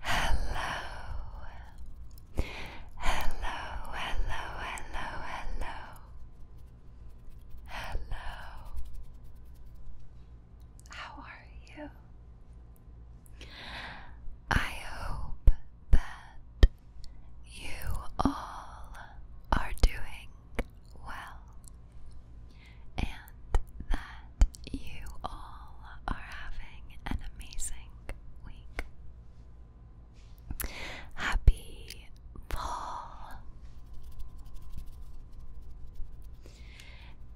Hello. Hello, hello, hello, hello. How are you? I hope that you all are doing well and that you all are having an amazing week. Happy fall!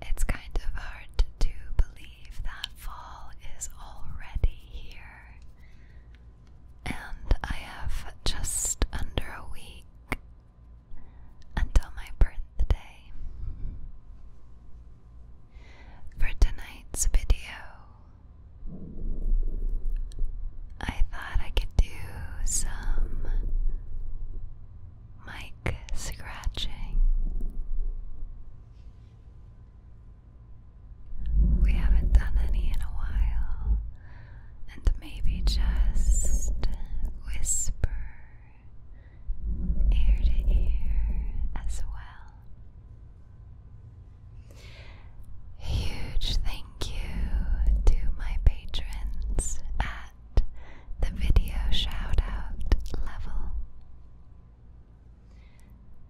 It's kind of hard to believe that fall is already here and I have just under a week until my birthday. For tonight's video, I thought I could do some mic scratching. We haven't done any in a while, and maybe just whisper ear to ear as well. Huge thank you to my patrons at the video shout level.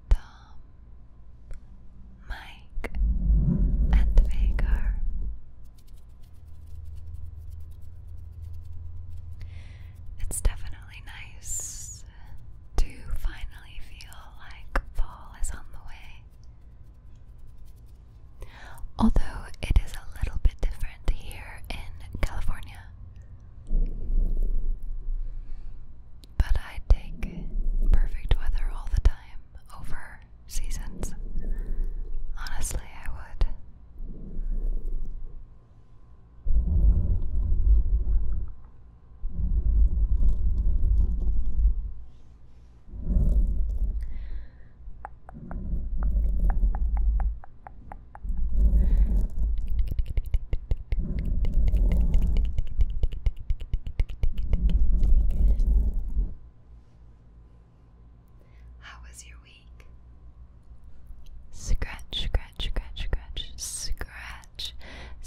Tom, Mike, and Vega. It's definitely nice to finally feel like fall is on the way. Although it is a little bit different here in California. But I take perfect weather all the time over seasons. Honestly, I would. How was your week? Scratch, scratch, scratch, scratch, scratch,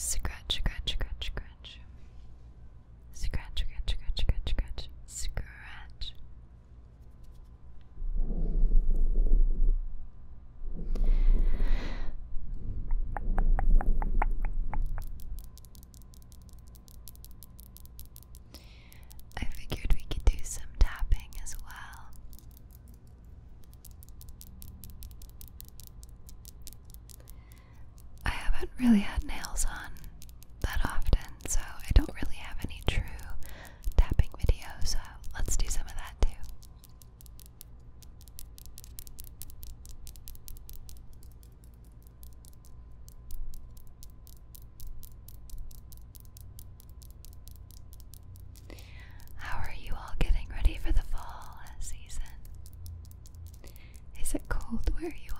scratch, scratch, scratch, scratch, scratch, scratch, scratch, scratch, scratch, scratch. I figured we could do some tapping as well. I haven't really had nails on that often, so I don't really have any true tapping videos, so let's do some of that too. How are you all getting ready for the fall season? Is it cold where you are?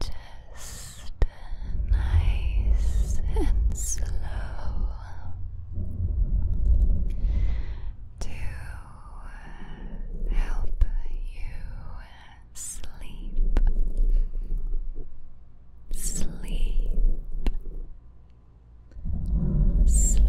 Just nice and slow to help you sleep, sleep, sleep, sleep.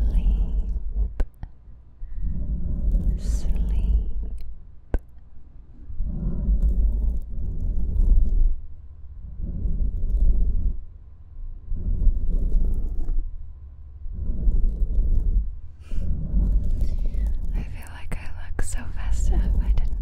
I feel like I look so festive. I didn't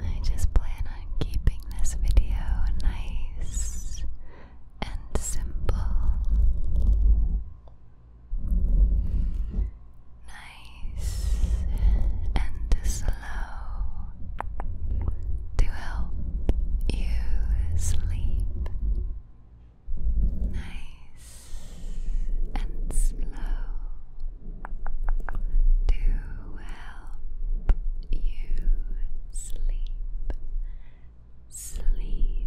I just plan on keeping this video nice and simple nice and slow to help you sleep. Nice and slow to help you sleep. Sleep,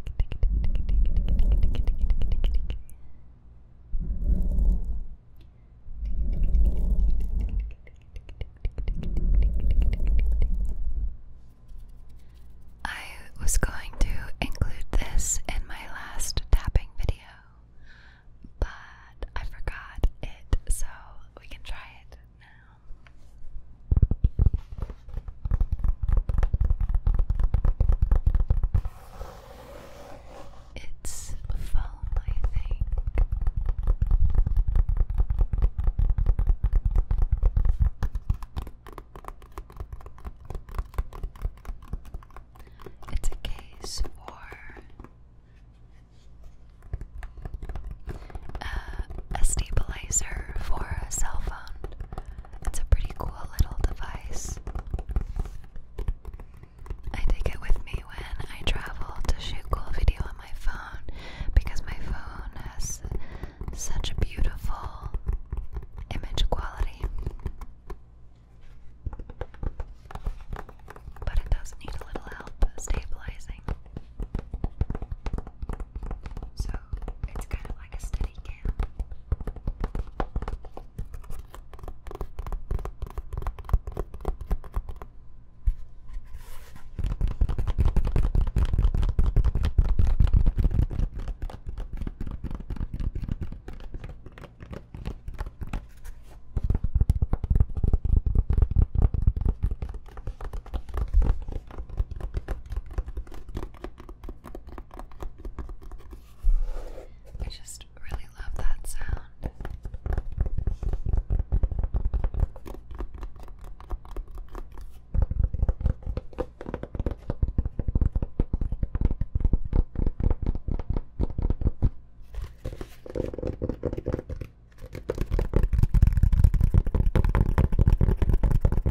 I was going to include this in my last tapping video, but I forgot it, so we can try it now. It's foam, It's a case for uh, a stabilizer for a cell phone it's a pretty cool little device. I take it with me when I travel to shoot cool video on my phone because my phone has such beautiful image quality. But it does need a little help stabilizing. So it's kind of like a steady cam. I just really love that sound.